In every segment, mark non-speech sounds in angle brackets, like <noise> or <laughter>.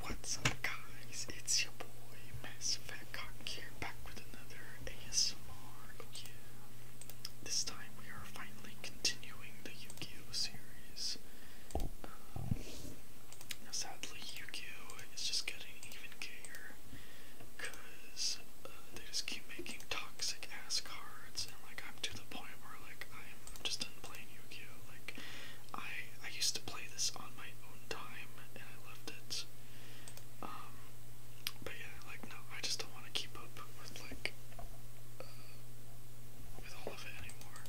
What's up guys, it's your boy Mass Effect Cock here back with another ASMR. Oh yeah. This time we are finally continuing the Yu-Gi-Oh! series. Um, now sadly Yu-Gi-Oh! is just getting even gayer because uh, they just keep making toxic ass cards and like I'm to the point where like I'm just done playing Yu-Gi-Oh! Like I I used to play this on my own time and I loved it. Um, but yeah, like no, I just don't want to keep up with like uh, with all of it anymore.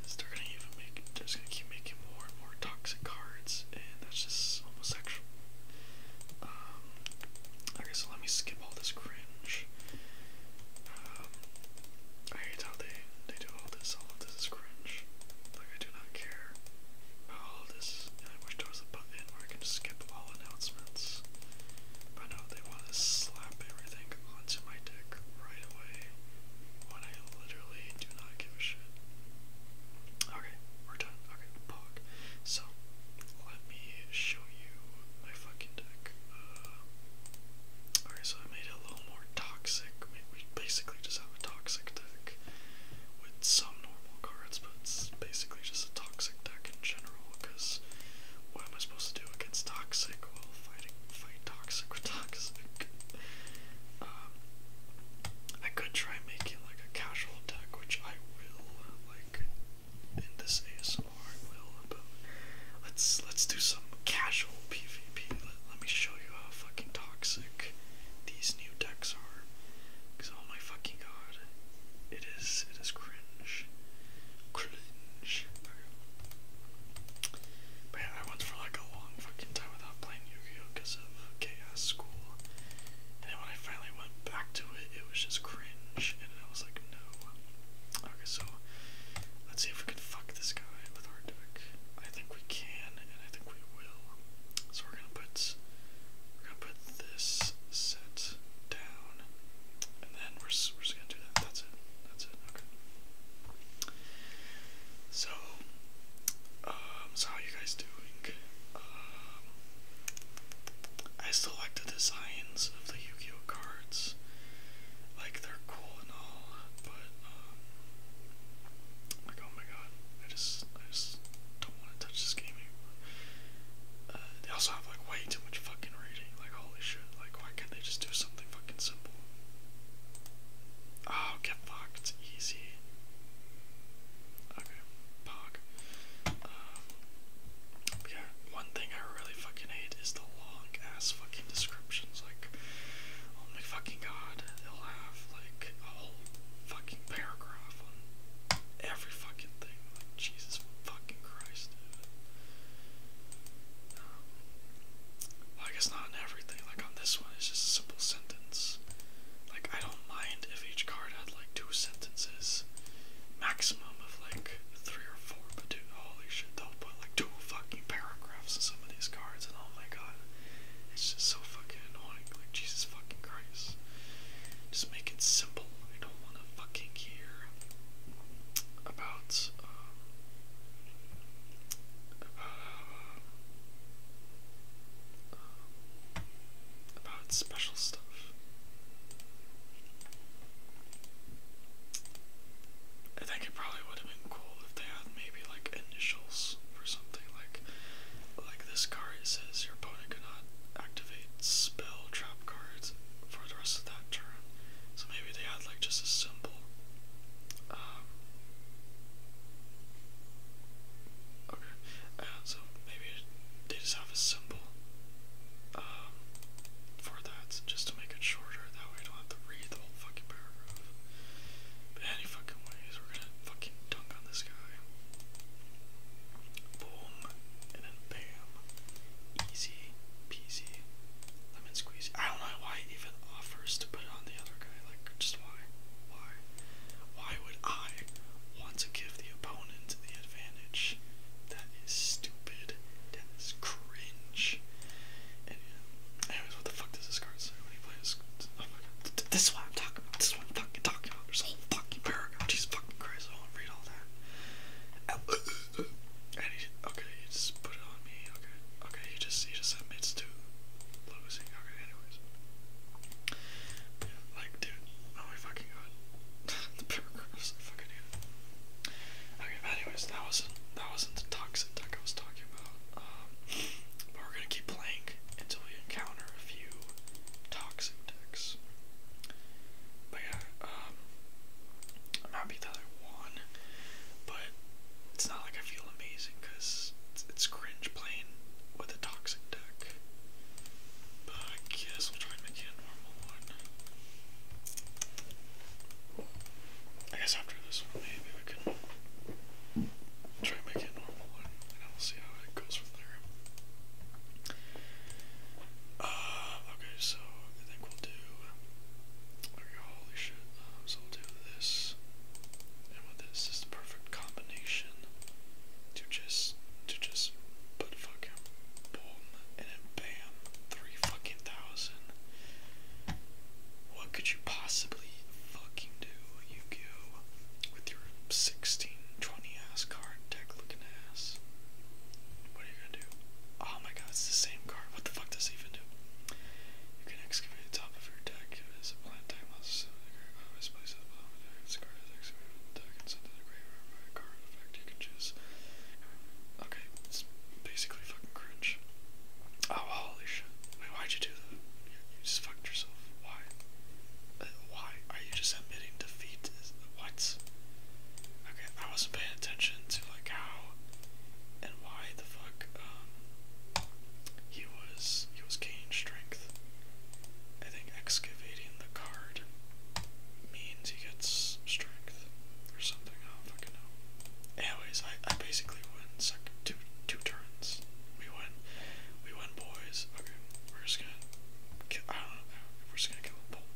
Cause they're gonna even make, they're just gonna keep making more and more toxic cards, and that's just homosexual. Um, okay, so let me skip all this cringe. Um, I hate how they they do all this, all of this cringe. Like, I do not care about all this, and I wish there was a button where I can skip all announcements. But no, they want to slap everything onto my dick right away when I literally do not give a shit. Okay, we're done. Okay, pog. So, let me show you my fucking deck. Uh, Alright, so I made it a little more toxic. I mean, we basically just have a toxic deck with some normal cards, but it's basically just a toxic deck in general, because what am I supposed to do against toxic? Well, fighting, fight toxic with <laughs> toxic. Um, I could try making like a casual deck, which I will, like, in this ASMR, I will let's let's do some casual PvP. Let, me show you how fucking toxic these new decks are. Cause oh my fucking god, it is it is cringe, cringe. But I went for like a long fucking time without playing yu because of chaos school, and when I finally went back to it, it was just cringe, and I was like, no. Okay, so let's see if we fuck this guy with our deck. I think we can, and I think we will. So we're gonna put we're gonna put this set down, and then we're we're just gonna do that. That's it. That's it. Okay. So, um, so how you guys doing? Um, I still like the designs of the Yu-Gi-Oh cards. Like they're cool and all, but like oh my god, I just I just don't want to touch this game uh, they also have like way too much fucking reading. Like holy shit! Like why can't they just do something fucking simple? Oh, get fucked, easy. Okay, pog. Um, yeah, one thing I really fucking hate is the long ass fucking descriptions. Like, oh fucking god, they'll have like a whole fucking paragraph on every fucking thing. Jesus fucking Christ, dude. Um, well, I guess not on everything. Like, on this one, it's just a simple sentence. Like, I don't mind if each card had like two sentences, maximum of like three or four, but dude, holy shit, they'll put like two fucking paragraphs autographs some of these cards, and oh my god, it's just so fucking annoying. Like, Jesus fucking Christ. Just make it simple. I don't want to fucking hear about, uh, uh, about special stuff. I think it probably would have been cool if they had maybe like initials or something like like this card it says your opponent cannot activate spell trap cards for the rest of that turn. So maybe they had like just a symbol. Um, okay, so maybe they just have a symbol um, for that just to make it shorter. That way I don't have to read the whole fucking paragraph. But any fucking ways, we're gonna fucking dunk on this guy. Boom. And then bam. Easy peasy. Lemon squeezy. I don't know why it even offers to put on the other guy. Like, just why? Why? Why would I want to give the opponent the advantage? That is stupid. That is cringe. And, uh, anyways, what the fuck does this card say when he plays? Oh my god. This is what I'm talking about. This is what I'm fucking talking about. There's a whole fucking paragraph. Jesus fucking Christ, I won't read all that. And he, okay, you just put it on me. Okay, okay, you just, you just admits to losing. Okay, anyways. Yeah, like, dude, oh my fucking god. <laughs> the paragraphs, I fucking hate it. Okay, but anyways, that wasn't, that wasn't the toxic deck I was talking about. Um, but we're gonna keep playing until we encounter a few toxic decks. But yeah, um, I'm happy that I won, but it's not like I feel amazing because it's, cringe playing with a toxic deck. But I guess we'll try and make a normal one. I guess after this one, maybe. I try and make normal and, and I'll see how it goes from there. Uh, okay, so I think we'll do. holy shit. so we'll do this. And this is the perfect combination to just to just put fucking boom and then bam three fucking thousand what could you possibly fucking do, Yu-Gi-Oh, with your 1620 ass card deck looking ass? What are you gonna do? Oh my god, it's the same card. What the fuck does it even do? You can excavate the top of your deck it is a plant time loss. Always place at the the deck. This card is deck card effect you can choose. Okay, it's basically fucking cringe. Oh, holy shit. why'd you do that? You, just fucked yourself. Why? Uh, why are you just admitting defeat? Is, Okay, I wasn't paying attention to, like, how and why the fuck, um, he was, he was gaining strength. I think excavating the card means he gets strength or something fucking know. Anyways, I, I basically went second two two turns. We win. We win boys. Okay. We're just gonna kill I don't know. We're just gonna kill a bull.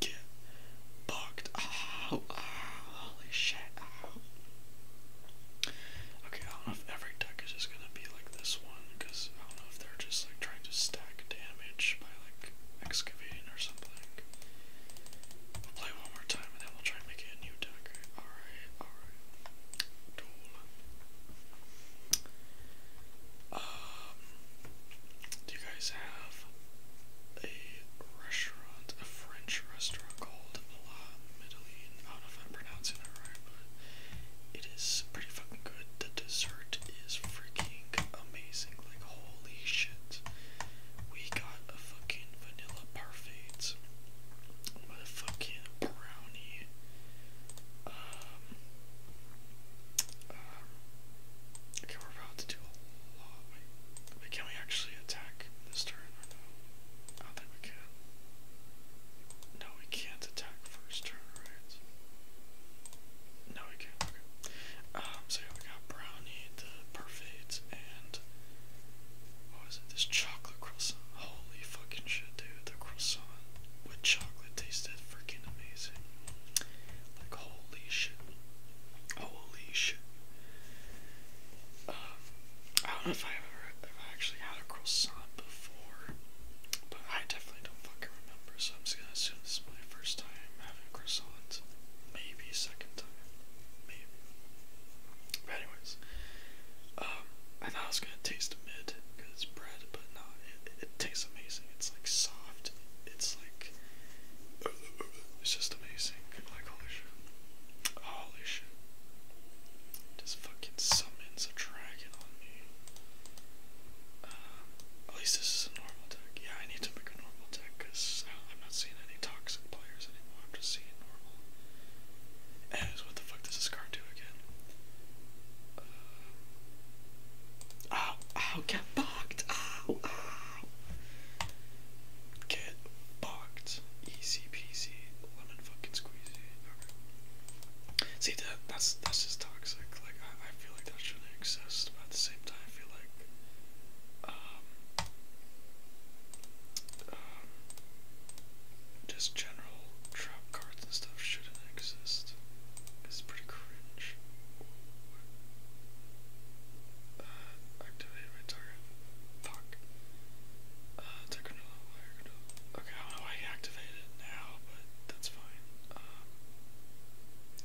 Get bugged. <laughs> Oh, oh, holy shit. Oh. Okay, I don't know if every deck is just gonna be like this one, because I don't know if they're just like trying to stack damage by like excavating or something play one more time and then we'll try and make it a new deck. Alright, alright. Um, do you guys have a restaurant, a French restaurant called La Medellin? not if I'm pronouncing that right, but it is pretty fucking good. The dessert is freaking amazing. Like, holy shit we got a fucking vanilla parfait a fucking brownie. Um, um, okay, we're about to do a lot. Wait, can we actually attack this turn or no? I think we can. No, we can't attack first turn, right? No, we can't. Um, so we got brownie, the perfect, and was oh, it? This chocolate croissant. Holy fucking shit, dude. The croissant with chocolate tasted freaking amazing. Like, holy shit. Holy shit. Um, I don't know if I ever actually had a croissant before, but I definitely don't fucking remember, so I'm just gonna assume this is my first time having croissants. Maybe second time. But anyways, um, I thought I was gonna taste mid because it's bread, but no, it, tastes amazing. It's like soft. It's like it's just amazing. holy shit, holy shit. Just fucking summons a dragon on me. Um, at least this is a normal deck. Yeah, I need to make a normal deck because I'm not seeing any toxic players what the fuck does this card do again? Uh, ow, ow, get bucked, ow, ow. Get bucked. Easy peasy, lemon fucking squeezy. See, that, that's, that's just toxic. Like, I, I feel like that shouldn't exist, but at the same time, I feel like, um, just general trap cards and stuff shouldn't exist. It's pretty cringe. Uh, activate my target. Fuck. Uh, okay, I know why activated now, but that's fine. Um,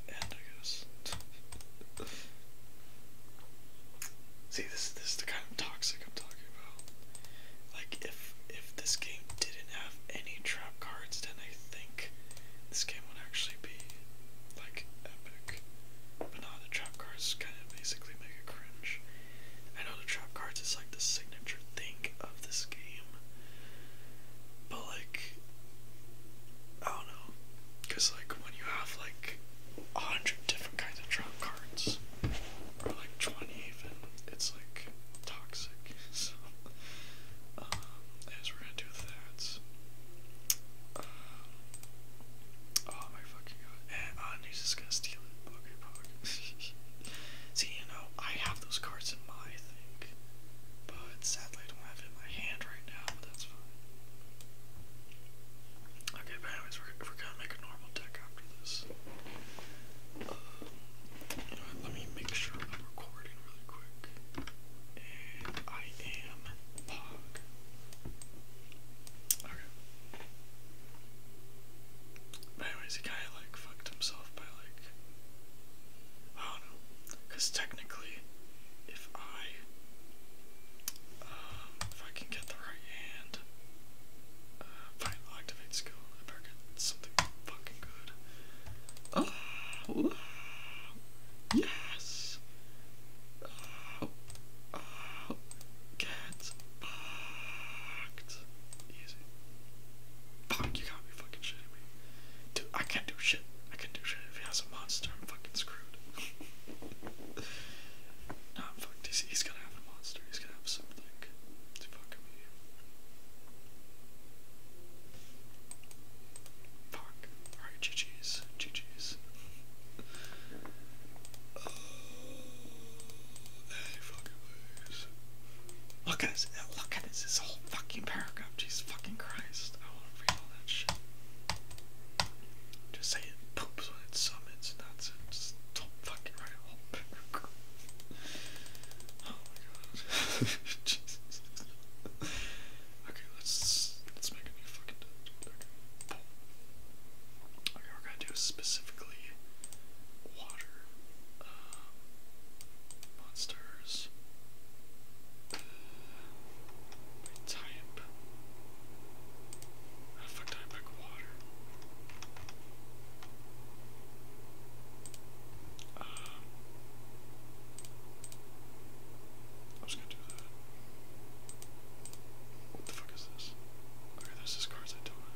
and I guess. <laughs> See, this this is the kind of toxic I'm talking about. Like, if if this game didn't have any trap cards, then I think this game would actually be like epic. But not the trap cards kind of basically make it cringe. I know the trap cards is like the signature thing of this game, but like, I don't know, cause like when you have like a hundred different kinds of trap cards, or like 20 even, it's like toxic. <laughs> So, um, as we're gonna do that, um, oh my fucking god, and, he's uh, just gonna steal it. <laughs> See, you know, I have those cards in my thing, but sadly I don't have it in my hand right now, but that's fine. Okay, anyways, we're, gonna make a normal deck after this. Um, let me make sure I'm recording really quick. And I am Pog. Okay. anyways, the guy like fucked himself by like, I don't know, because technically, if I <sighs> if I can get the right hand. Uh, activate skill. I better get something fucking good. Oh, yes! Oh, oh, get fucked. Easy. Fuck, you got me fucking shitting me. Dude, I can't do shit. I can't do shit. If he has a monster, I'm fucking screwed nah, i He's, gonna have a monster. He's gonna have something to fuck me. Fuck. Alright, GG's. GG's. Oh, fucking please. Look at this. Look at this. This whole fucking paragraph. Jesus fucking Christ. I want to read all that shit. Just say it poops when it summits, that's it. Oh <laughs> okay, let's let's make a new fucking okay. we're gonna do specifically water uh, monsters. Uh, type. How the fuck I pick water? I was gonna do that. What the fuck is this? Okay, this is cards I have.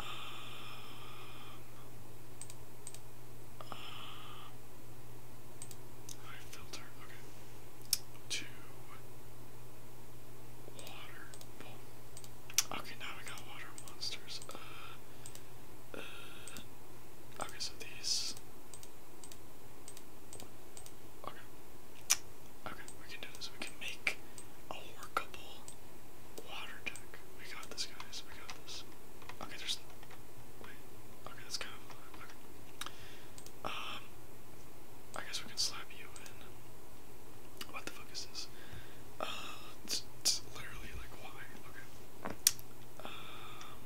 Um, um filter, okay to water. Okay, now we got water monsters. Uh, uh, okay, so these. Okay. Okay, we can do this. We can make a workable water deck. We got this, guys. We got this. Okay, there's. Wait. Okay, that's kind Um. I guess we can slap you what the fuck is this? Uh, it's, literally like why? Okay. Um,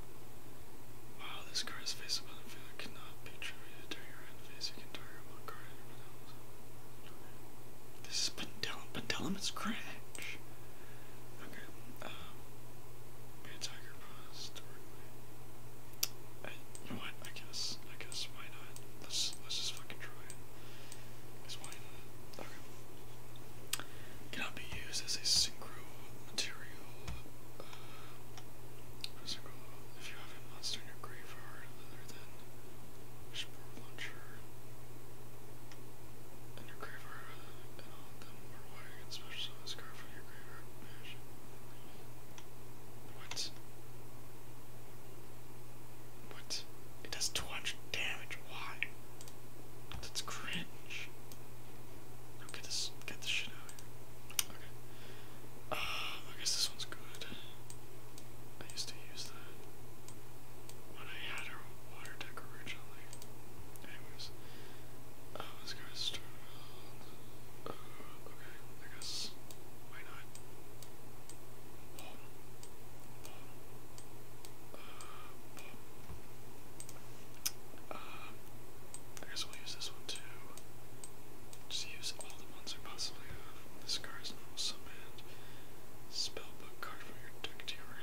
wow, this card's face up on the field cannot be attributed to your end face. You can target one card and everyone else. This is Pendulum. Pendulum is crash. Okay. Um. Be tiger paws I, you what? I guess. I guess. Why not? Let's let's just fucking try it. Cause why Okay. Cannot be used as a synchro material. Uh, synchro. If you have a monster in your graveyard, other than Spore Launcher, and your graveyard, uh, and all them are wired and special card from your graveyard. What? What? It does 200 damage. Why? That's cringe. get this, get this shit out Okay. Um, I guess this one's good. I used to use that when I had her water deck originally. Anyways, um, this guy's turn. Uh, okay, I guess. Why not? I guess we'll use this one too. Just use all the ones I possibly have. This card is normal summand. Spellbook card from your deck to your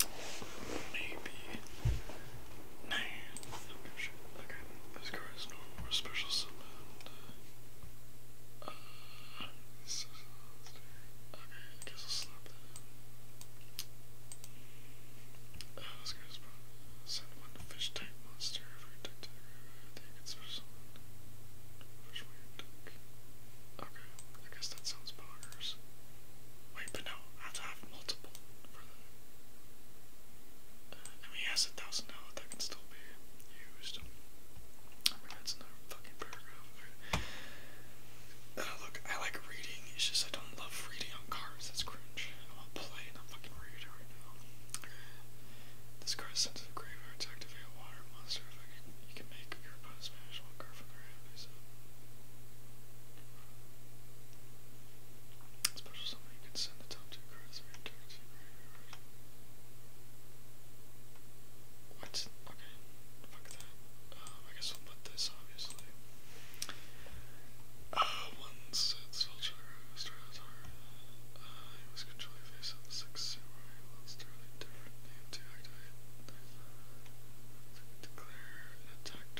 hand. Maybe Nine. Okay, this car is normal or special summoned. Uh, okay, I guess I'll slap that this card is probably send one to fish tank monster Okay, I guess that sounds bonkers. Wait, but no, I have to have multiple for that. Uh, I mean, a thousand now that can still be used. that's another fucking paragraph. Uh, look, I like reading, it's just I don't love reading on cars, that's cringe. I want to play, not fucking read right now. This car is sent graveyard to activate a water monster. you can make your opponent smash one card from their hand Special summon, can send the top to your What? Okay, fuck that. Um, I guess we'll put this, obviously. Uh, once it's Vulture, Stratotar, uh, I was controlling face up 6 different name to an attack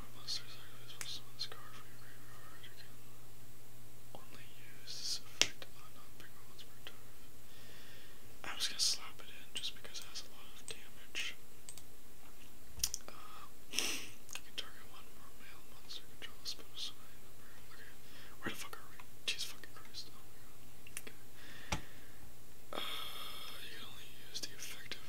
Where monster sacrifice only use this effect on non-bigger ones per turn. I was gonna slap it in just because it has a lot of damage. Uh, can target one more male monster control Okay, where the fuck are we? Jeez fucking Christ. Oh okay. Uh, you can only use the effective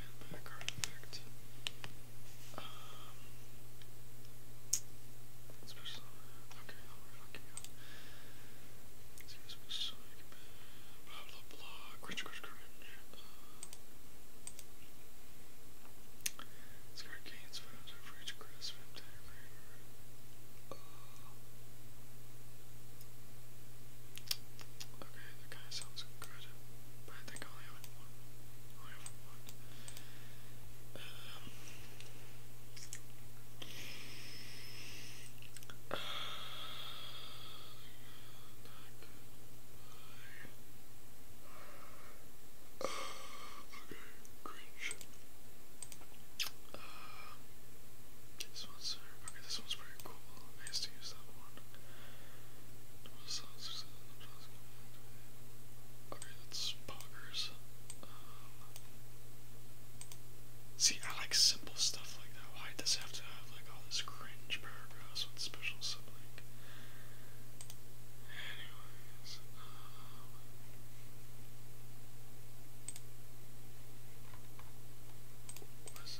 and effect. special. Okay, I'll relock you. Zero special. Blah blah blah. Cringe, cringe, cringe. Uh, this card gains five hundred for each grasp and dagger. Uh, Okay, that kind of sounds good, but I think I only have one. I only have one. Um, uh, uh, okay, cringe. Uh, this one's okay. This one's pretty cool. I used to use that one. Okay, that's poggers. Um, see, I like simple stuff like that. Why does it have to have like all this cringe paragraphs with special sibling? Anyways, um, what is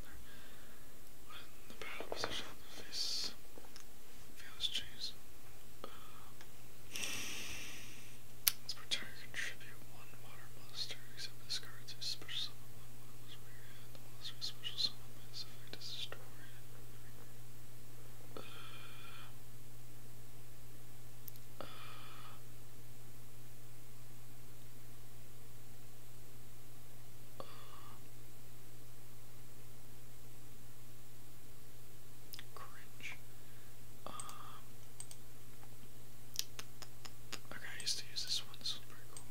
another. When the battle contribute one water monster, except this card is special summon monster from your monster special summon by effect is destroyed. Cringe. Um, okay, I used to use this one. This one's pretty cool.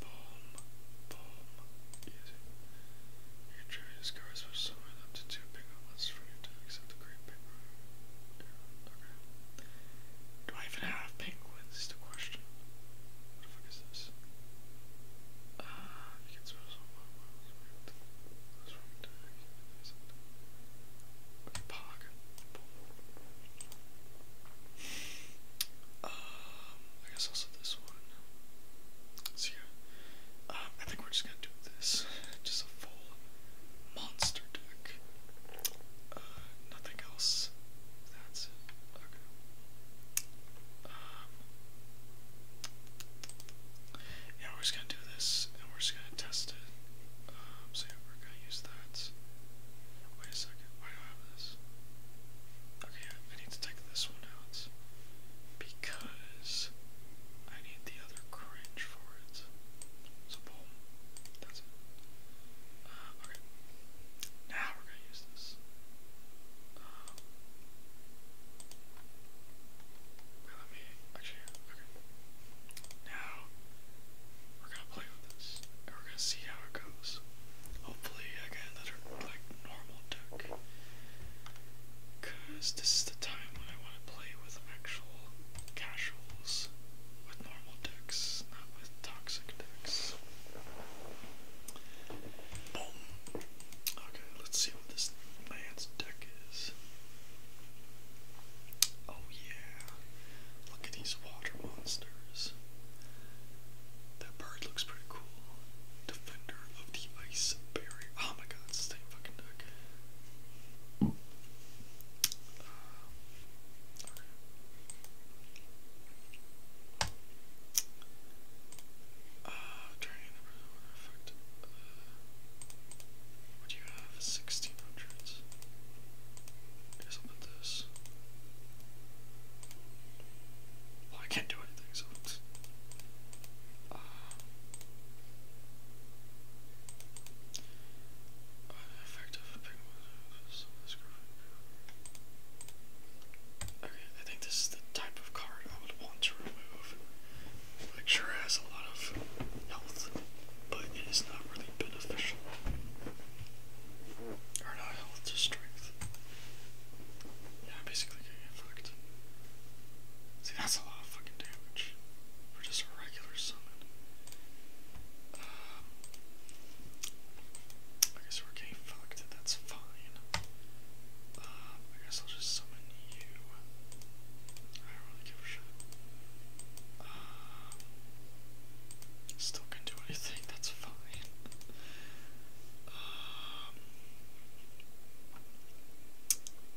Boom, boom. Easy. You can try this car, switch somewhere to two big ones from your time, except the great big Yeah, okay. Do I even have penguins is the question. What the fuck is this? Uh, I guess um, also this one. So yeah, um, I think we're just gonna do this. <laughs> Just a full monster deck. Uh, nothing else. That's Okay. Um, yeah, we're just gonna do this, and we're just gonna test it. Um, so we're gonna use that. Wait a second, why do I have this? Okay, I need to take this one out. Because I need the other cringe for it. So boom. That's it. Uh, okay. Now we're gonna use this. let me actually. Okay. Now we're gonna play with this, and we're gonna see how it goes. Hopefully, I get another like normal deck, cause this is the time when I want to play with actual casuals with normal decks, not with toxic decks. Okay, let's see what this man's deck is. Oh yeah. Look at these water monsters. That bird looks pretty cool. Defender of the Ice Oh my god, it's the same fucking deck. Uh, uh, turning the one what do you have? 1600s. I guess this. I can't do anything, so. Okay, I think this is the type of card I would want to remove. Like, sure, has a lot of health, but it is not really beneficial. Or not health to strength. Yeah, am basically getting fucked. See, that's a lot of fucking damage for just a regular summon. I guess we're getting fucked. That's fine. Uh, I guess I'll just summon you. I don't really give a shit. Uh, still can do anything. That's fine. Um,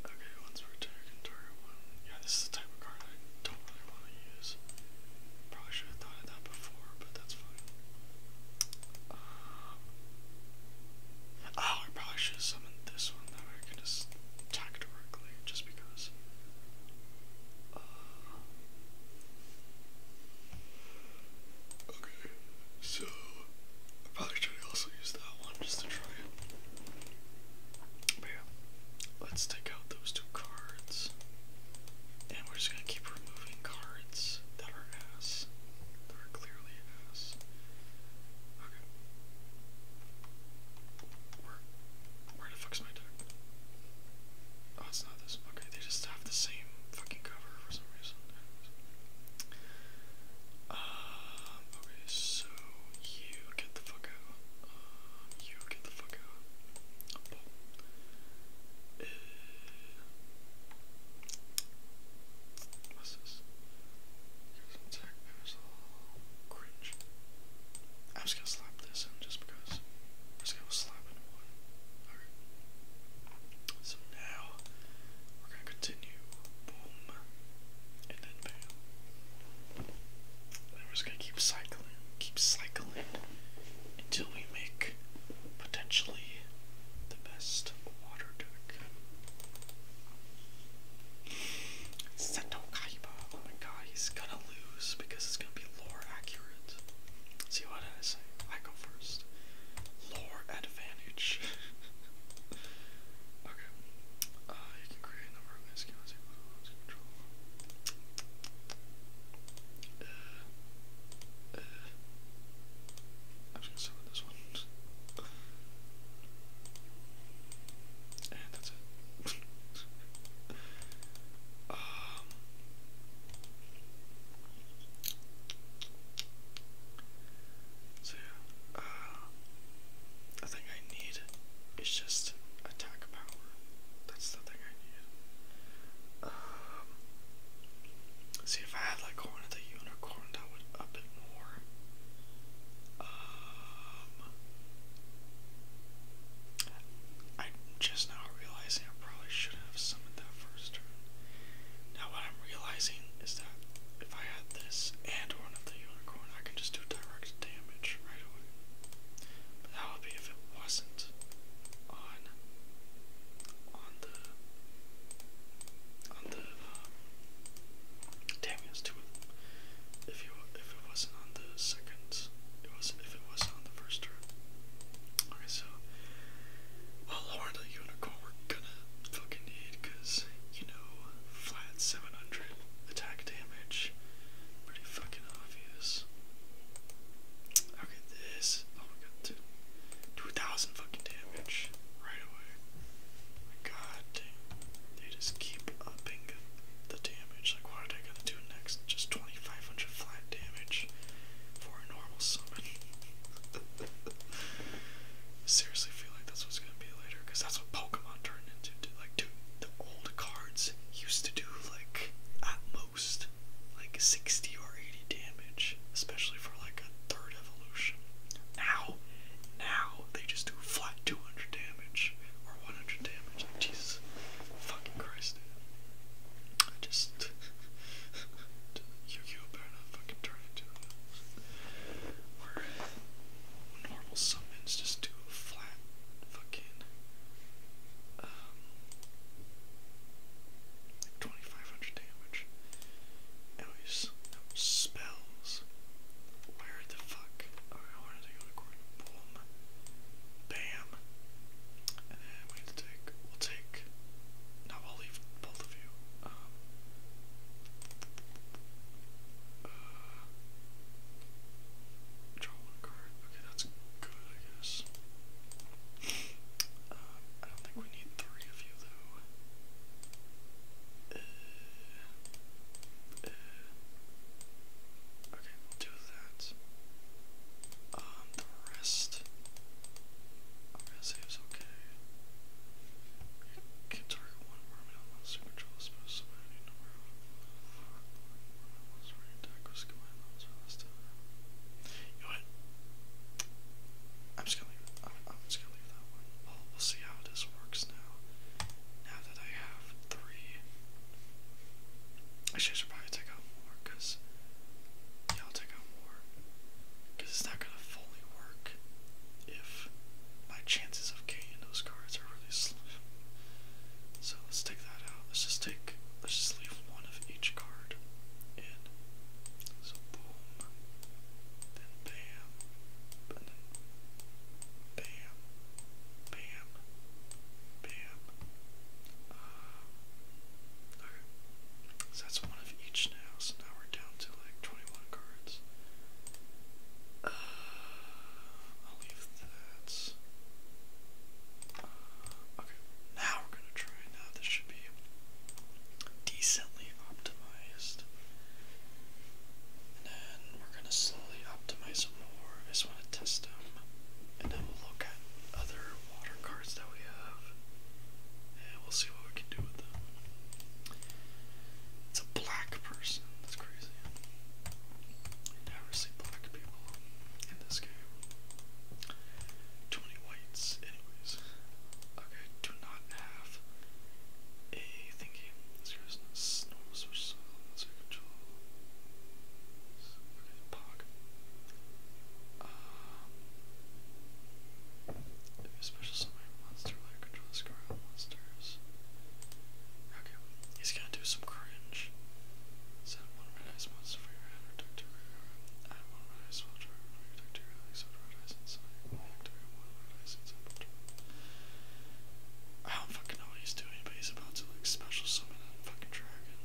okay, once we're taking target one. Yeah, this is card I don't really want to use. Probably should have thought of that before, but that's fine. oh, I probably should have summoned this one that I can just attack directly, just because. okay, so I probably should also use that one just to try yeah, let's take out those two cards. And we're just gonna keep removing cards that are ass. That are clearly ass. Okay. Where where the fuck's my deck? Oh, it's not this. Okay, they just have the same fucking cover for some reason. Um, okay, so you get the fuck out. Um, you get the fuck out. Uh, what's this? It was cringe. I'm just gonna slap this in just because. I'm just gonna slap in one. Alright. So now, we're gonna continue. Boom. And then bam. And we're just gonna keep cycling. Keep cycling until we make potentially the best water deck. Sento Kaiba, oh my god, he's gonna lose because it's gonna be lore accurate. See what I say? I go first. Lore advantage. <laughs> okay. Uh, uh, uh, I'm just gonna start with this one. and that's it. um, so yeah, uh, I think I need is just attack power. That's the thing I need. Um, see, if I had like Horn of the Unicorn, that would up it more. Um, I'm just now realizing I probably should have summoned that first turn. Now, what I'm realizing is that if I had this and Horn of the Unicorn, I can just do direct damage right away that would be if it wasn't on on the on the uh, damn it, two If you if it wasn't on the second, it was if it wasn't on the first turn. Okay, so well, Lord the Unicorn we're gonna fucking need because you know flat seven hundred attack damage, pretty fucking obvious. I'll this. Oh my god, two, 2,000 fucking damage right away. God They just keep upping the damage. Like, what are they gonna do next? Just 2,500 flat damage for a normal summon. <laughs> Seriously, feel like that's what's gonna be later, because that's what Pokemon turned into. Like, dude, the old cards used to do like like 60 or 80 damage, especially for like a third evolution. Now, now they just do flat 200 damage or 100 damage. Jesus fucking Christ, I just. <laughs> Yu Oh! better not fucking turn into Where normal summons just do a flat fucking um, twenty five hundred damage. Anyways, spells. Where the fuck? Alright, I wanted to go to Gordon. Boom. Bam. And then we take we'll take no, I'll leave both of you. Um, uh, draw one card. Okay, that's good, I guess. Um, I don't think we need three of you though. Uh, okay, we'll do that. the rest, I'm gonna say it's okay. Can target one environment on super control, suppose somebody number. You know what? I'm just gonna I'm, just gonna leave that one. we we'll see how this works now. Now that I have three. I should probably take out more, because. Yeah, take out more. it's not gonna fully work if my chances of getting those cards are really slim. So let's take that out. Let's just take, let's just leave one of each card in. So boom, then bam, and then bam, bam, bam. Um, okay, so that's one of each now. So now we're down to like 21 cards. Uh, I'll leave that. Okay, now we're gonna try. Now this should be decently optimized. And then we're gonna slowly optimize it more. I just wanna test them. And then we'll look at other water cards that we have. And we'll see what we can do with them. It's a black person. That's crazy. I never see black people in this game. 20 whites, anyways. Okay, do not have a thingy. This guy's normal switch so control. Okay, pog. Um if special summon monster like control the score monsters. Okay, he's gonna do some cringe. I don't fucking know what he's doing, but he's about to, like, special summon a fucking dragon.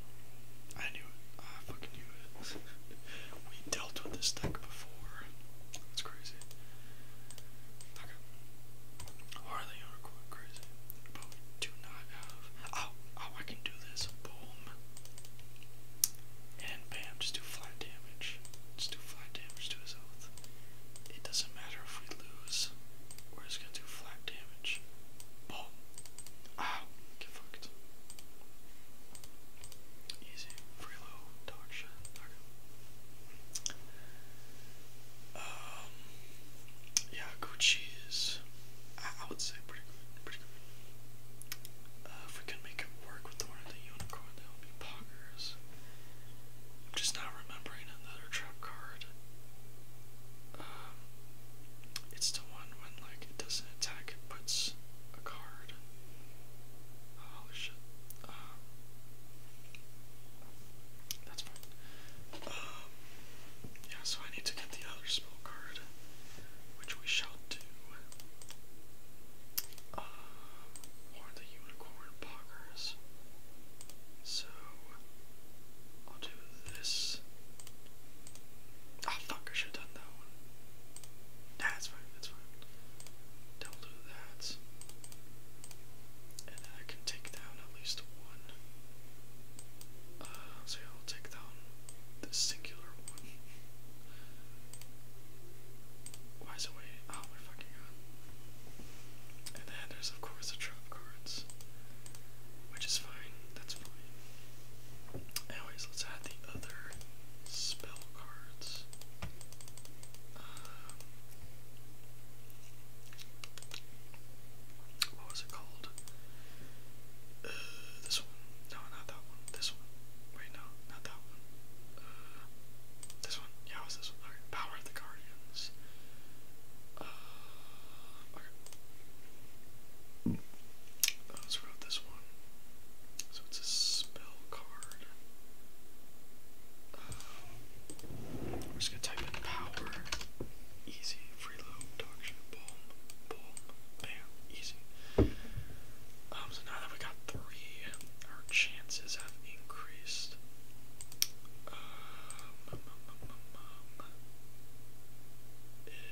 I knew it. I fucking knew it. <laughs> we dealt with this deck before. That's crazy. Okay. Or the unicorn crazy. But we do not have. Oh, Oh, I can do this. Boom. And bam, just do flat damage. Just do flat damage to his oath. It doesn't matter if we lose. we gonna do flat damage. Boom. Ow. Ah, get fucked. Easy. Free low. Dog shit. Okay. Um. Yeah, Gucci I would say pretty good. Uh, if we can make it work with the one of the unicorn, that would be poggers. I'm just not remembering another trap card. Um, it's the one when like it doesn't attack, it puts a card. Oh, shit. Um, that's fine. Um, yeah, so I need to get the other spell card which we shall do. Um, or the unicorn poggers. So I'll do this. Oh fuck! I should have done that one. Nah, that's fine. That's fine. Then we'll do that, and then I can take down at least one. Uh, so yeah, I'll take down the singular one. Why is it wait? Oh my fucking god. And then there's of course the trump cards. Which is fine, that's fine. Anyways, let's add the other spell cards. Um, what was it called? this one. No, not that one. This one. Wait, no, not that one. this one. Yeah, it was this one. Alright, Power of the Guardians. Uh, okay. I was wrote this one. So it's a spell card. Um, we're just gonna type in power. Easy, boom, bam, easy. Um, so now that we got three, our chances have increased. Um,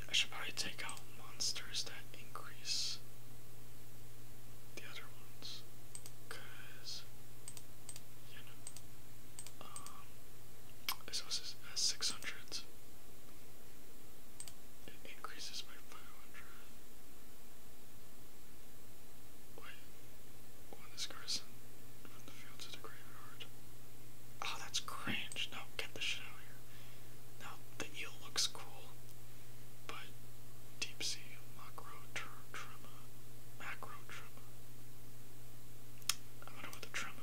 I should probably take out monsters that increase the other ones, you know. Um, Exhaust has 600. It increases by 500. Wait. When this car is from the field to the graveyard. Oh, that's cringe. No, get the shit out of here. Now, the eel looks cool, but deep sea macro tr Macro trimmer. I wonder what the trim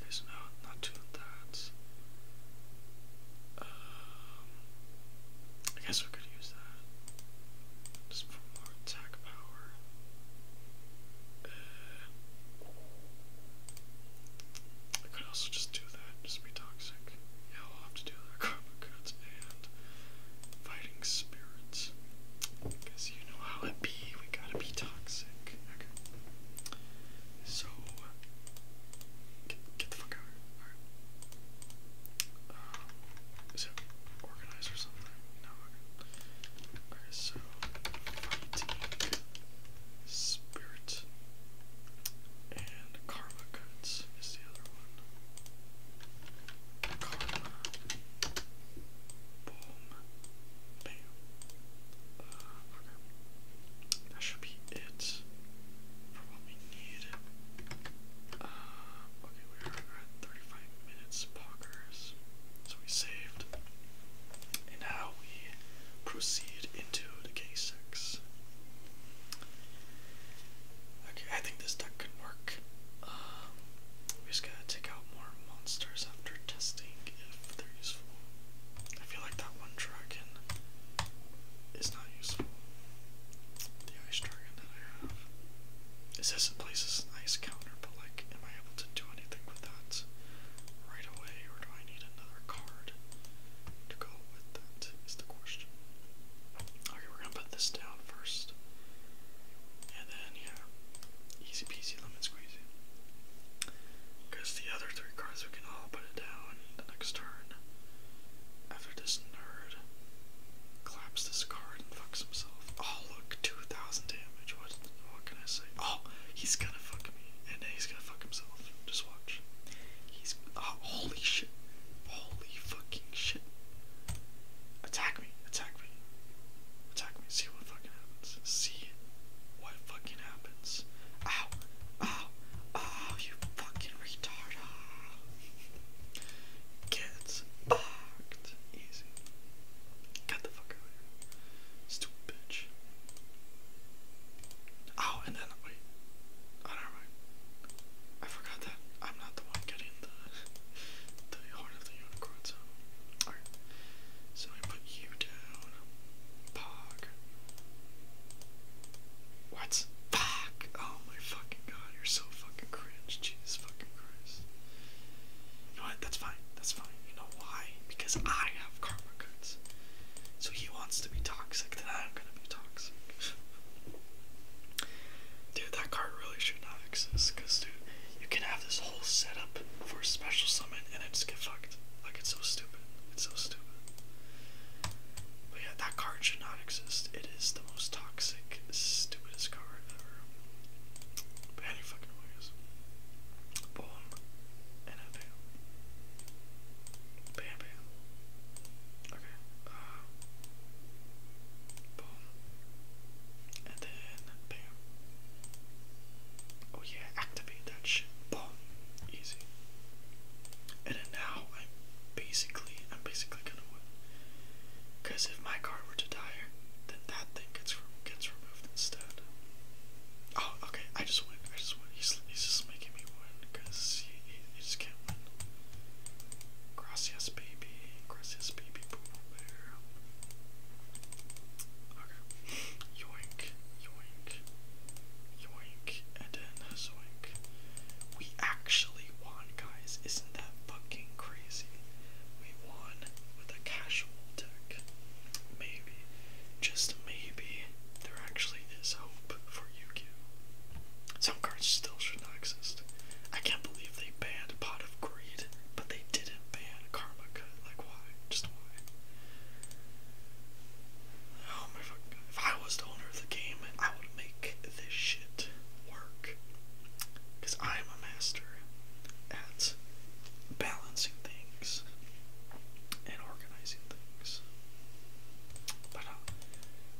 There's no, not doing that. Um, I guess we could use that just for more attack power. I uh, could also just do that, just be toxic. Yeah, we'll have to do that. <laughs> Karma goods and fighting spirits. Because you know how it we gotta be toxic. Okay. So get, the fuck out of here. or something? No, okay. so fighting and karma goods is the other one. Karma. Boom. Bam okay. That should be it for need. Uh, okay, we are at 35 minutes, poggers. So we saved. And now we proceed into the K6. Okay, I think this deck can work. Um, we just gotta take out more monsters after testing if they're useful. I feel like that one dragon is not useful. The ice dragon that I have. It says it places an ice counter, but like, am I able to do anything with that right away, or do I need another card to go with that? Is the question. Okay, we're gonna put this down first, and then yeah, easy peasy lemon squeezy. Because the other three cards we can all put it down the next turn. After this nerd claps this card and fucks himself. Oh look, 2,000 damage. What, what can I say? Oh, he's gonna fuck me. And then he's gonna fuck himself. Just watch. He's. Oh, holy shit. Holy fucking shit. Attack me. Attack me. Attack me. See what See what fucking happens. Ow! Ow! Ow! You fucking retard! Get fucked. Easy. Get the fuck out of here. Stupid bitch. Ow! Oh, and then wait. Oh, never mind. I forgot that I'm not the one getting the the horn of the unicorn. So, alright. So I put you down. Pog. What? Fuck! Oh my fucking god, you're so fucking cringe. Jesus fucking Christ. You know what? That's fine. That's fine. You know why? Because I have karma cards. So he wants to be toxic, then I'm gonna be toxic. <laughs> dude, that card really should not exist, because, dude, you can have this whole setup for a special summon and then just get fucked. Like it's so stupid. It's so stupid. But yeah, that card should not exist. It is the most toxic, stupidest card ever. any fucking ways. Boom. And a bam. Bam bam. Okay. Uh, boom. And then bam. Oh yeah, activate that shit. Boom. Easy. And now I'm basically I'm basically gonna win. Cause if my car were to die, then that thing gets gets removed instead. Oh, okay. I just win. I just win. He's he's just making me win, cause he, he, just can't win. Gracias, baby. Gracias, baby. Poo bear. Yoink, yoink, yoink, and then zoink. We actually won, guys. Isn't that fucking crazy? We won with a casual deck. Maybe, just maybe, there actually is hope for Yu-Gi-Oh! Some cards still should not exist. I can't believe they banned Pot of Greed, but they didn't ban Karma Cut. Like why? Just why? Oh my god. If I was the owner of the game, I would make this shit work. Cause I am a master at balancing things and organizing things. But uh,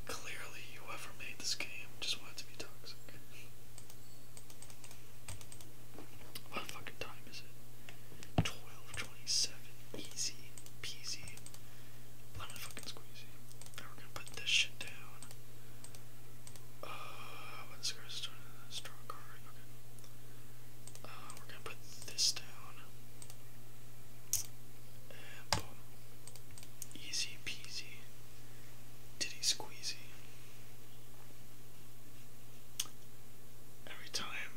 clearly whoever made this game just wanted to be toxic. What fucking time is it? 12.27. Easy peasy. Lemon fucking squeezy. Now we're gonna put this shit down. Uh, let's go to Strong card. Uh, we're gonna put this down. Easy peasy. Titty squeezy. Every time,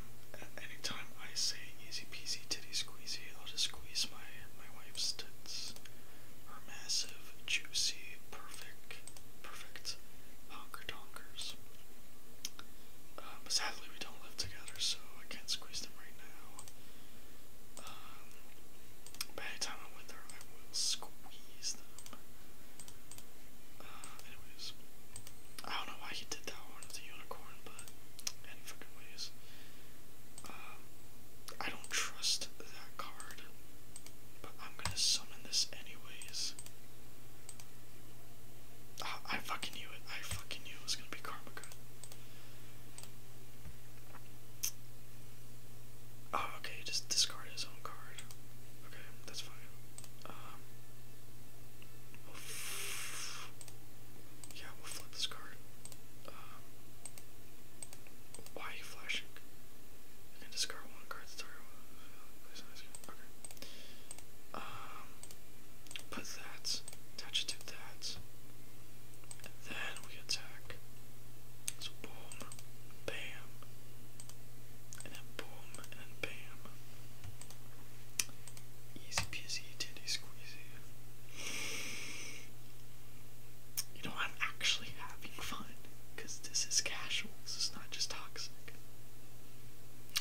any time I say easy peasy titty squeezy, I'll just squeeze my my wife's tits. Her massive, juicy, perfect, perfect honker donkers. Um, sadly, we don't live together, so I can't squeeze them right now. Um, but anytime I'm with her, I will squeeze them. Uh, I don't know why he did that one with the unicorn, but any freaking ways. Um, I don't trust that card, but I'm gonna summon this anyways. I fucking knew it. I fucking knew it was gonna be karma. Oh, okay, just discard his own card. Okay, that's fine. Um, we'll yeah, we'll flip this card. Um, why are you flashing? You can discard one card to um, put that, attach it to that, then we attack. So boom, bam, and boom, and bam. Easy peasy, titty squeezy. You know, I'm actually having fun this is casual, this is not just toxic.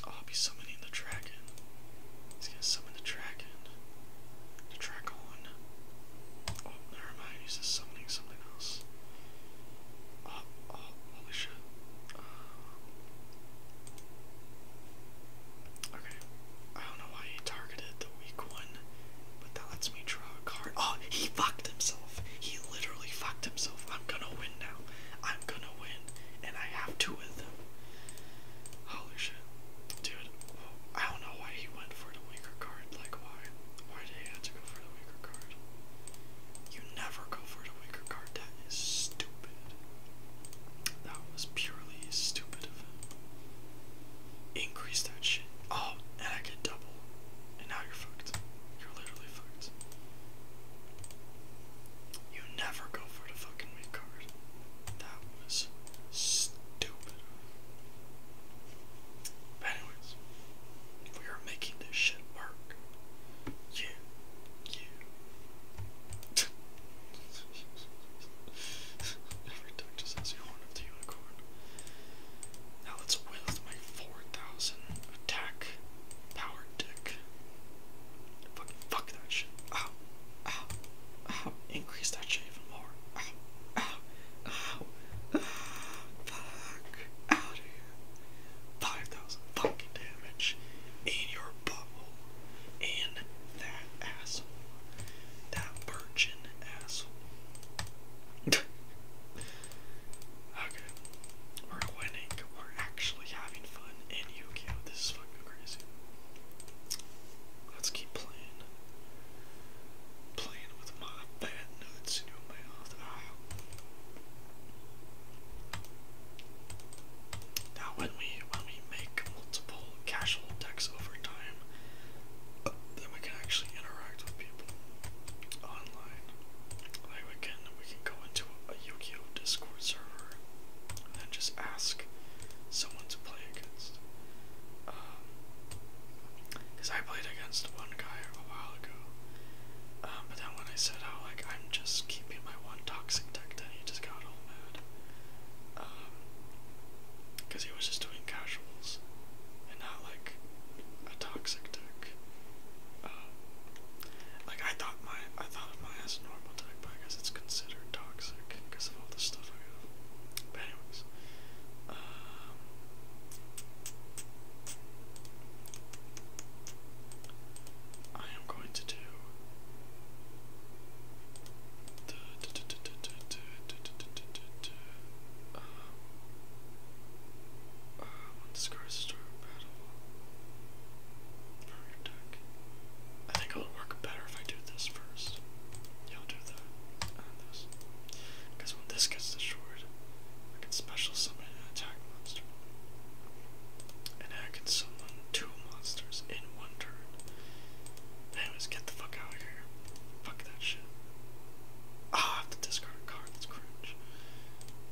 Oh, I'll be summoning the dragon. He's gonna summon the dragon. The dragon. Oh, never mind, he's just summoning something else. Uh, holy shit. okay. I don't know why he targeted the weak one, but that lets me draw a card. Oh, he fucked himself. He literally fucked himself. I'm gonna win now. I'm gonna win, and I have two of them. Holy shit. Dude, I don't know why he went for the weaker card. Like, why? Why did he have to go for the weaker card? You never go for the weaker card. That is stupid. That was purely stupid of him. Increase that shit. Oh, and I get double. And now you're fucked. You're literally fucked. You never go for the fucking mid card. That was stupid. But anyways, we are making this shit work. Yeah. Yeah. <laughs> Every doctor says you horn of the unicorn. Now let's wield my 4000 attack power dick. Fuck, fuck that shit. Ow. Ow. Ow. Increase that shit even more. Ow. Ow. Ow. Fuck. Out of here. 5,000 pocket damage in your bubble And that asshole. That virgin asshole. <laughs> okay. We're winning. We're actually having fun in yu This is fucking crazy. Let's keep playing. Playing with my fat nuts, you know, mouth. Now, when we when we make multiple casual decks over time, uh, then we can actually interact with people online. we can we can go into a Yu-Gi-Oh Discord server and then just ask someone to play against. Um, Cause I played against one guy a while ago, um, but then when I said how like I'm just keeping my one toxic deck, then he just got all mad. Um, because he was just doing casuals and not like a toxic deck. Um, like I thought my I thought of mine as a normal deck, but I guess it's considered toxic because of all the stuff I have. But anyways, um. I am going to do um, uh, when this card start battle from your deck. I think it would work better if I do this first. Yeah, i do that this. Because when this gets destroyed, I can special summon an attack monster. And I can summon two monsters in one turn. Anyways, get the fuck out of here. Fuck that shit. Ah, have to discard a card, that's cringe.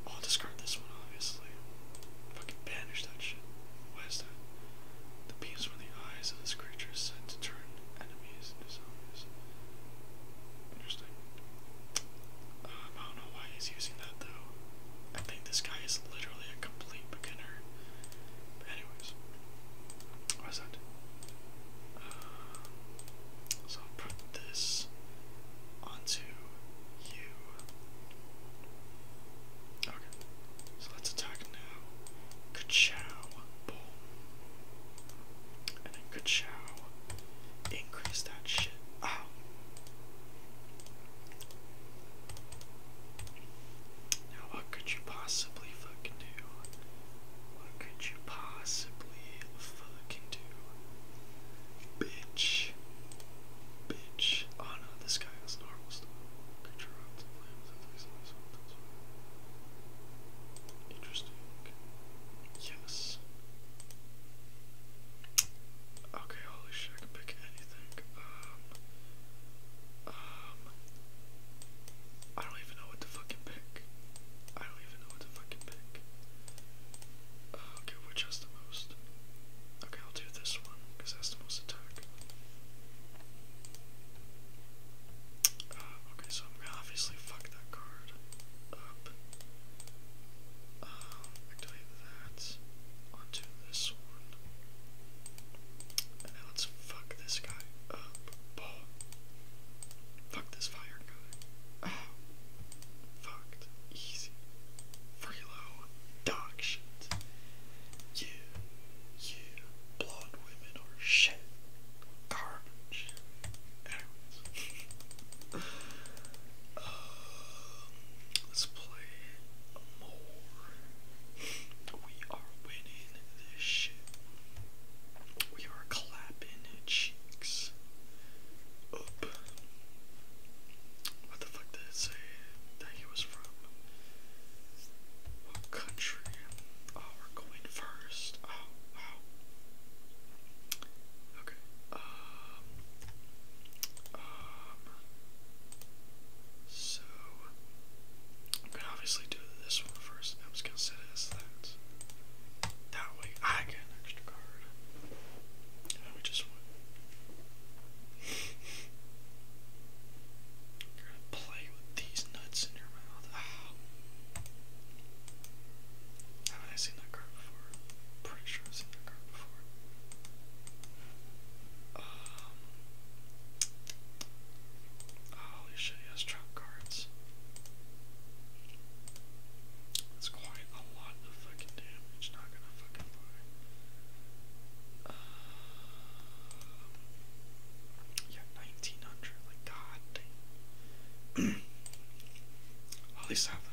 I'll discard this one, obviously. Fucking banish that shit. What is that? The beams from the eyes of this creature is said to turn enemies into zombies. Interesting. Um, I don't know why he's using that though. I think this guy is literally a complete beginner. But anyways, what is that? Uh, so I'll put this onto you. Okay, so let's attack now. Ka-chow, And then ka-chow. Increase that shit. Ah, now, what could you possibly fucking do? What could you possibly fucking do? Bitch. Bitch. Oh no, this guy has normal stuff. Interesting. Yes. Okay, holy shit, I can pick anything. Um, um, I don't even know what to fucking pick. I don't even know what to fucking pick. Uh, okay, which has the most? Okay, I'll do this one, because that's the most attack. Uh, okay, so I'm gonna obviously fuck that card up. Um, activate that onto this one. And then let's fuck this guy up. Oh. Fuck this fire guy. Oh. Fucked. Easy. Freelo. Dog shit. Yeah. Yeah. Blonde women are shit. Garbage. Anyways. <laughs> Um, let's play more. We are winning this shit. We are clapping cheeks up. What the fuck did it say that he was from? What country? Oh, we're going first. Oh, wow. Okay. Um. Um. So, I'm gonna obviously do this one first, I'm just gonna set it as that. That way I get an extra card. we just win. play with these nuts in your mouth. Ah. have I seen that card before? Pretty sure I've seen that card before. Um, holy shit, he has trump cards. That's quite a lot of fucking damage, not gonna fucking lie. Uh, yeah, 1900, like god <clears throat> At least have that.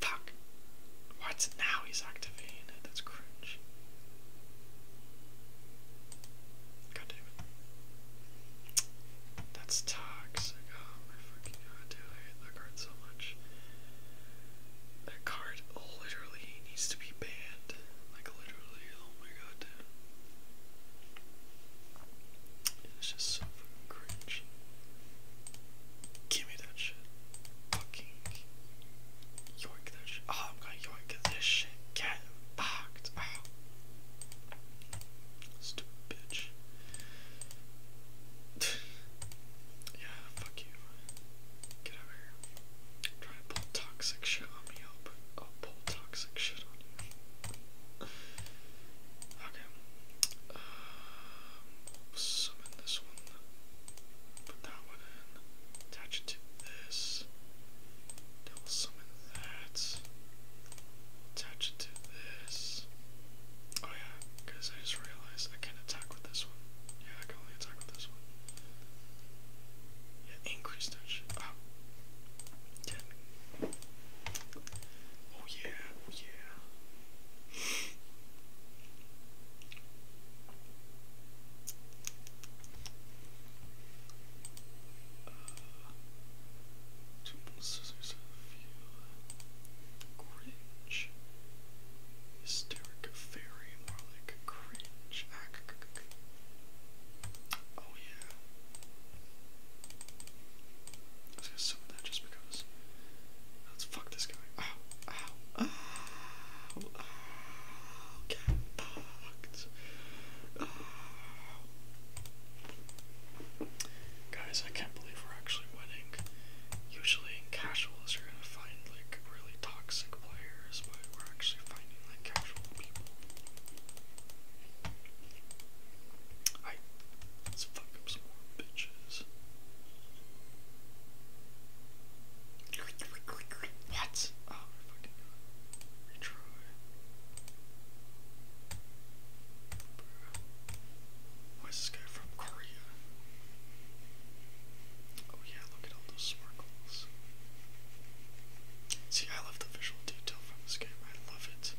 Fuck. What's now he's activating it? That's cringe. God damn it. That's toxic. Oh my fucking god, dude. I hate that card so much. That card literally needs to be banned. Like, literally. Oh my god, It's just so fucking cringe. Give me that shit. Fucking York that shit. Oh, I'm gonna York this shit. Get fucked. Stupid bitch. <sighs> yeah, fuck you. Get over here. Try to pull toxic shit on me. i I'll pull toxic shit on you. <sighs> Okay. Uh, summon this one, put that one in, attach it to this, then will summon that, attach it to this. Oh yeah, because I just realized I can attack with this one. Yeah, I can only attack with this one. Yeah, increase that Oh. Ten. Oh yeah, oh yeah. Cringe. Hysteric fairy, more like cringe. Oh yeah. I was gonna that just because Let's fuck this guy. Guys, I can't believe we're actually winning. Usually in casuals you're gonna find like really toxic players, but we're actually finding like casual people. What? Oh, we're fucking doing Retry. Where's this guy from? Korea. Oh yeah, look at all those sparkles. See, I love the visual detail from this game. I love it.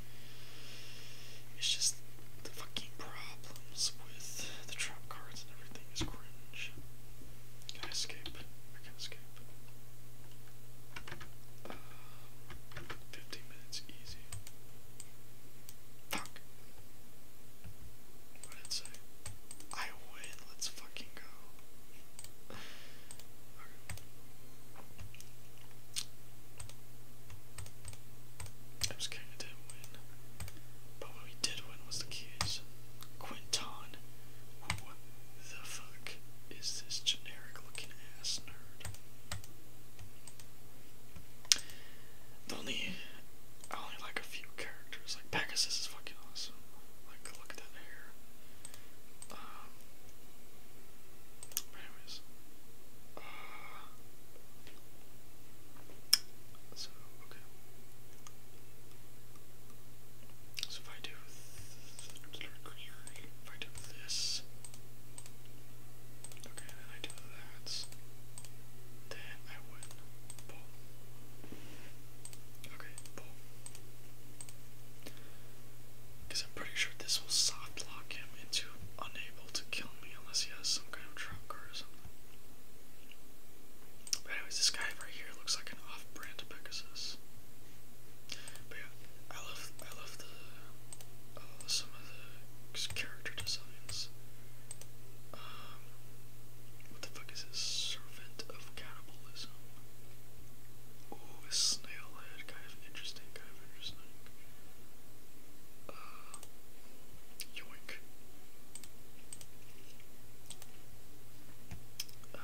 It's just the fucking problems with the trap cards and everything is cringe. Can I escape? I can escape. Uh, 15 minutes easy. Fuck. What did it say? I win. Let's fucking go. I was kinda did win. But what we did win was the keys. Quinton. What the fuck is this generic looking ass nerd? only I only like a few characters. Like Pegasus is fucking awesome. Like look at that hair. Um anyways. Uh, so, okay. So if I do, this, okay, then I do that, then I win. Okay, Because I'm pretty sure this will soft him into unable to kill me unless he has some kind of trump or something. But anyways, this guy right here looks like an off-brand Pegasus. But yeah, I love I love the uh, some of the character designs. Um, what the fuck is this? Servant of cannibalism. Ooh, a snail head, kind of interesting, kind interesting yoink. Um,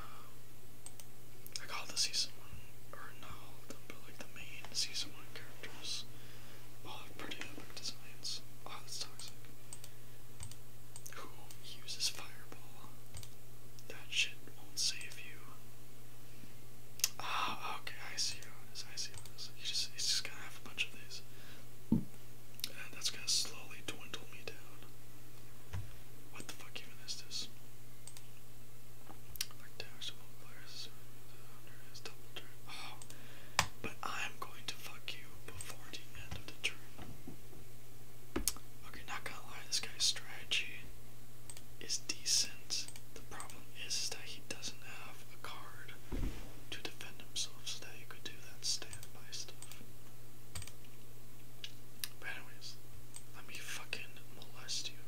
I call the season one, or not but like the main season one characters all have pretty epic designs. Oh, that's toxic. Who uses fireball? That shit won't save you. Ah, okay, I see how it is. I see how it is. You just, it's just gonna a bunch of these. And that's gonna slowly dwindle me down. What the fuck even is this? Oh, but I'm going to fuck you before the end of the turn. Okay, not gonna lie, this guy's strategy is decent. The problem is that he doesn't have a card to defend himself so, that you could do that standby stuff. But anyways, let me fucking molest you.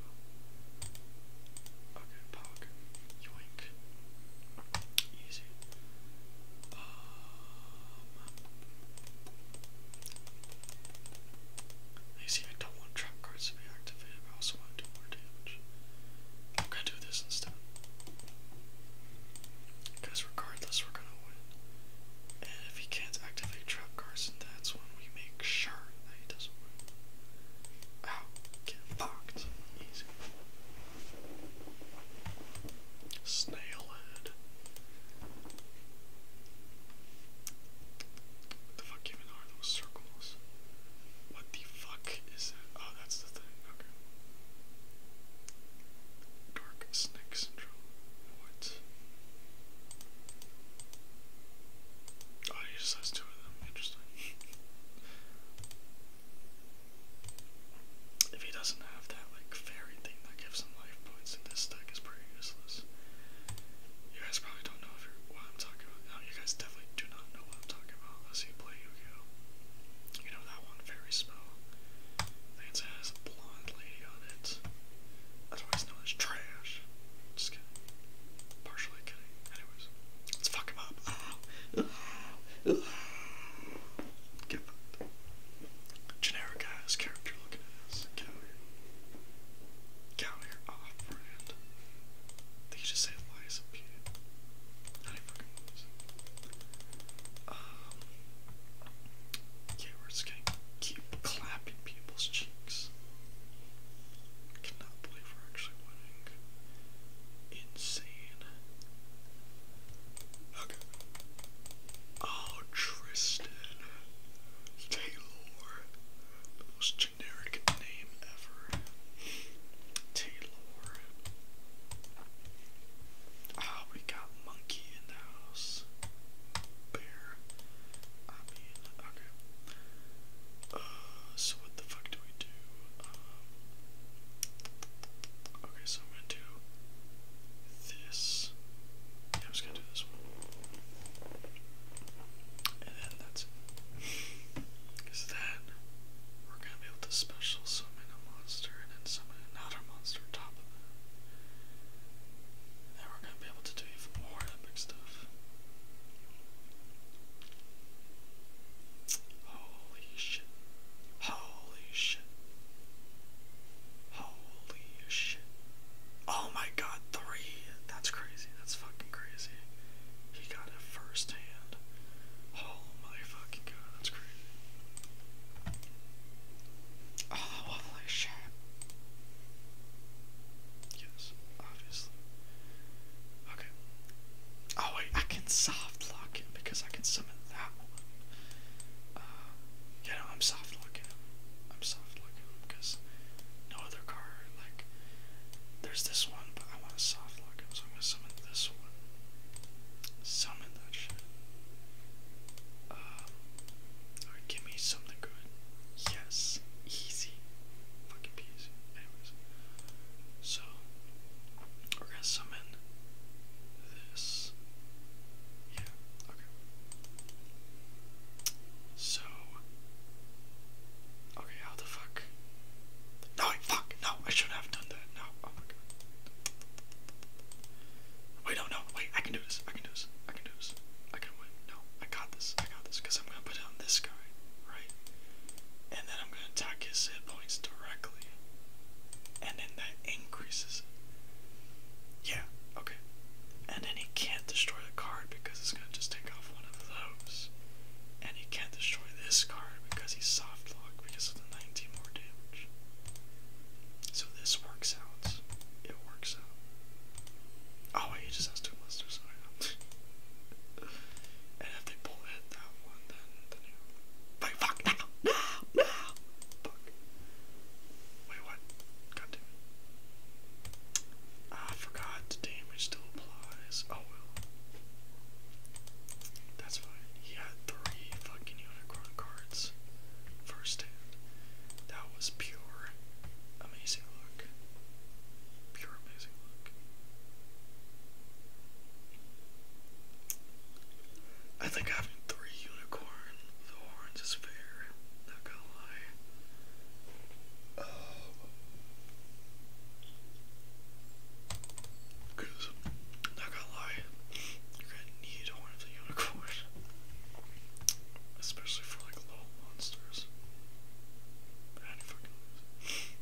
Okay, Pog. Yoink. Easy. Um, you see, I don't want trap cards to be activated, but I also want to I'm gonna do this instead. Because regardless, we're gonna win. And if he can't activate trap cards, that's when we make sure that he doesn't win. Ow, get fucked. Easy. Snail head. What the fuck even are those circles? What the fuck is that? Oh, that's the thing. Okay. Dark snake syndrome. What? Oh, he just has two of them. Interesting. if he doesn't have that like fairy thing that gives him life points, then this deck is pretty useless. You guys probably don't know if you're, what I'm talking about. No, you guys definitely do not know what I'm talking about unless you play Yu-Gi-Oh. You know that one fairy spell? it has a blonde lady on it. Otherwise known as trash. Just kidding. Partially kidding. Anyways, let's fuck him up. Get Generic ass character looking ass. Get out here. Off brand. They just say lies and Not Burgundies. Um, keep clapping people's cheeks. cannot believe we're actually winning. Insane. Okay. Oh, Tristan. Taylor. most generic name ever. Taylor. Ah, we got monkey in the house. Bear. I mean, okay. Uh, so what the fuck do we do? Um, okay, so I'm gonna do this. I'm gonna do this one. And then that's it. Because we're going to be able to special summon a monster and then summon another monster top of that. And we're going to be able to do even more epic stuff. Holy shit. Holy shit. Holy shit. Oh my god, three. That's crazy. That's fucking crazy. He got it firsthand. Oh my fucking god, that's crazy. Oh, waffle shit. Yes, obviously. Okay. Oh wait, I can soft lock him because I can summon that one. Uh, yeah, I'm soft locking him. I'm soft locking him because no other card. Like, there's this one, but I want to soft Flockham, so I'm gonna summon this one. Summon that shit. Uh, alright, give me something good. Yes. Easy. Fucking peasy. Anyways. So, we're gonna summon this. Yeah, okay. So, okay, how the fuck? No, fuck, no, no, I should have done that. No. Oh my god. Wait, no, no. Wait, I can do this. I can do this. I can do this. I can win. No, I got this. I got this. Because I'm going to put it on this guy, right? And then I'm going to attack his hit points directly. And then that increases it. Yeah, okay. And then he can't destroy the card because it's going to just take off one of those. And he can't destroy this card because he's soft locked because of the 19 more damage. So this works out. It works out. Oh he just has two monsters, oh, and if they pull that one, then the new Wait, fuck now! No! No! Fuck. Wait, what? God damn it. forgot the damage still applies. Oh well. That's fine. He had three fucking unicorn cards first hand. That was pure amazing look. Pure amazing luck. I think having three unicorn horns is fair. Not gonna lie. Um, because not gonna lie, you're gonna need Horn of the Unicorn. Especially for like low monsters. How do fucking lose?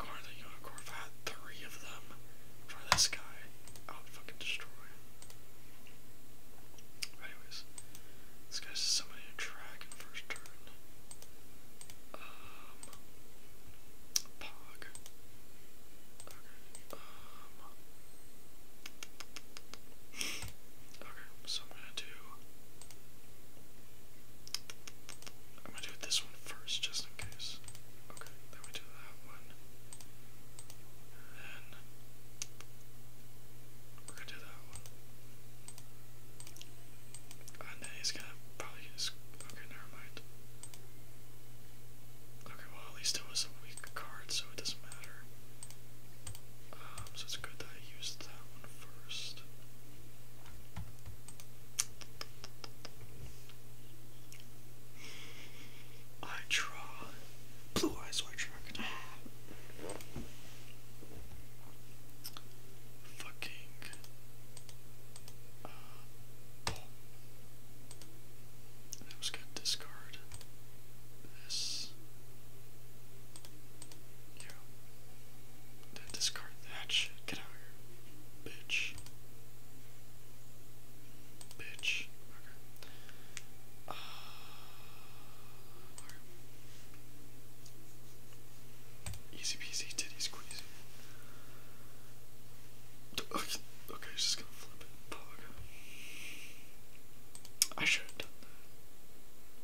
Horn of the Unicorn, if I had three of them for this guy, I would fucking destroy Anyways, this guy's just somebody to track in first turn. Um, okay. Um, okay. Okay. So I'm gonna do. I'm gonna do this one first, just in case. Okay. Then we do that one. then we're gonna do that one. And then he's gonna probably just Okay, never mind. Okay, well, at least it was a weak card, so it doesn't matter. Um, so it's good that I used that one first. I draw blue eyes white dragon. Fucking um, I was gonna discard this. Yeah. discard that shit. Get out here. Bitch. Bitch. Uh, Easy peasy titty squeeze. Okay, he's gonna flip it. I should have done that.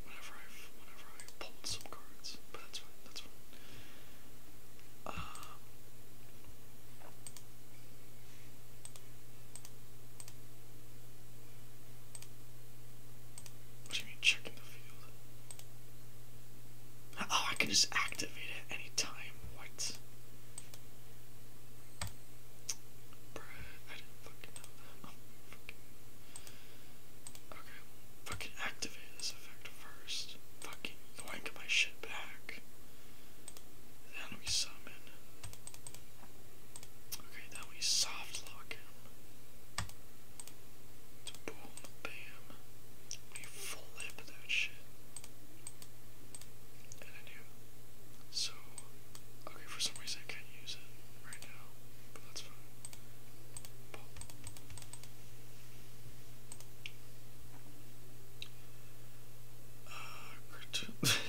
Whenever I whenever I pulled some cards, but that's fine. That's fine. Um, what do you mean checking the field? Oh, I can just activate it anytime. What? Okay, fucking activate this effect first. Fucking yoink my shit back. Then we summon. Okay, then we soft lock him. Boom, bam a full that shit. And I do. So, okay, for some reason I can't use it right now, but that's fine. Pop. <laughs>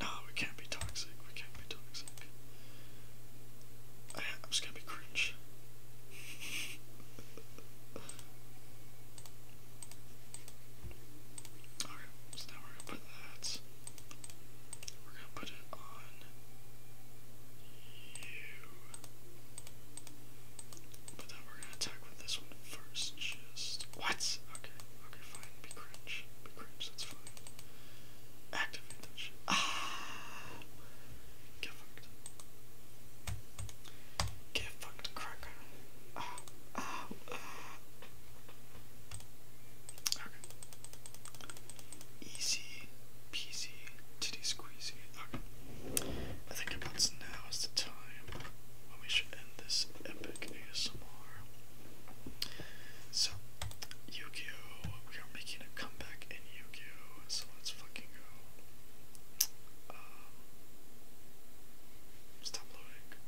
Uh, <laughs> we can't be toxic. We can't be toxic. I'm just gonna be cringe. <laughs> Okay, so now we're gonna put that. We're gonna put it on you. But then we're gonna attack with this one first. Just what? Okay, okay, fine. Be cringe. Be cringe. That's fine. Activate that shit. Ah, get fucked. Get fucked, cracker. Easy peasy, titty squeezy. I think about now is the time when we should end this epic ASMR. So, Yu-Gi-Oh! We are making a comeback in Yu-Gi-Oh! So let's fucking go. Um, Stop loading.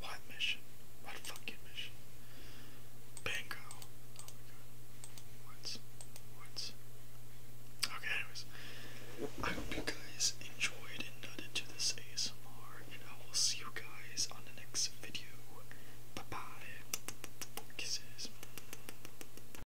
What mission? What fucking mission? Bingo. Oh my god. Okay, anyways. I hope you guys enjoyed and nutted to this ASMR, and I will see you guys on the next video. Bye bye. Kisses.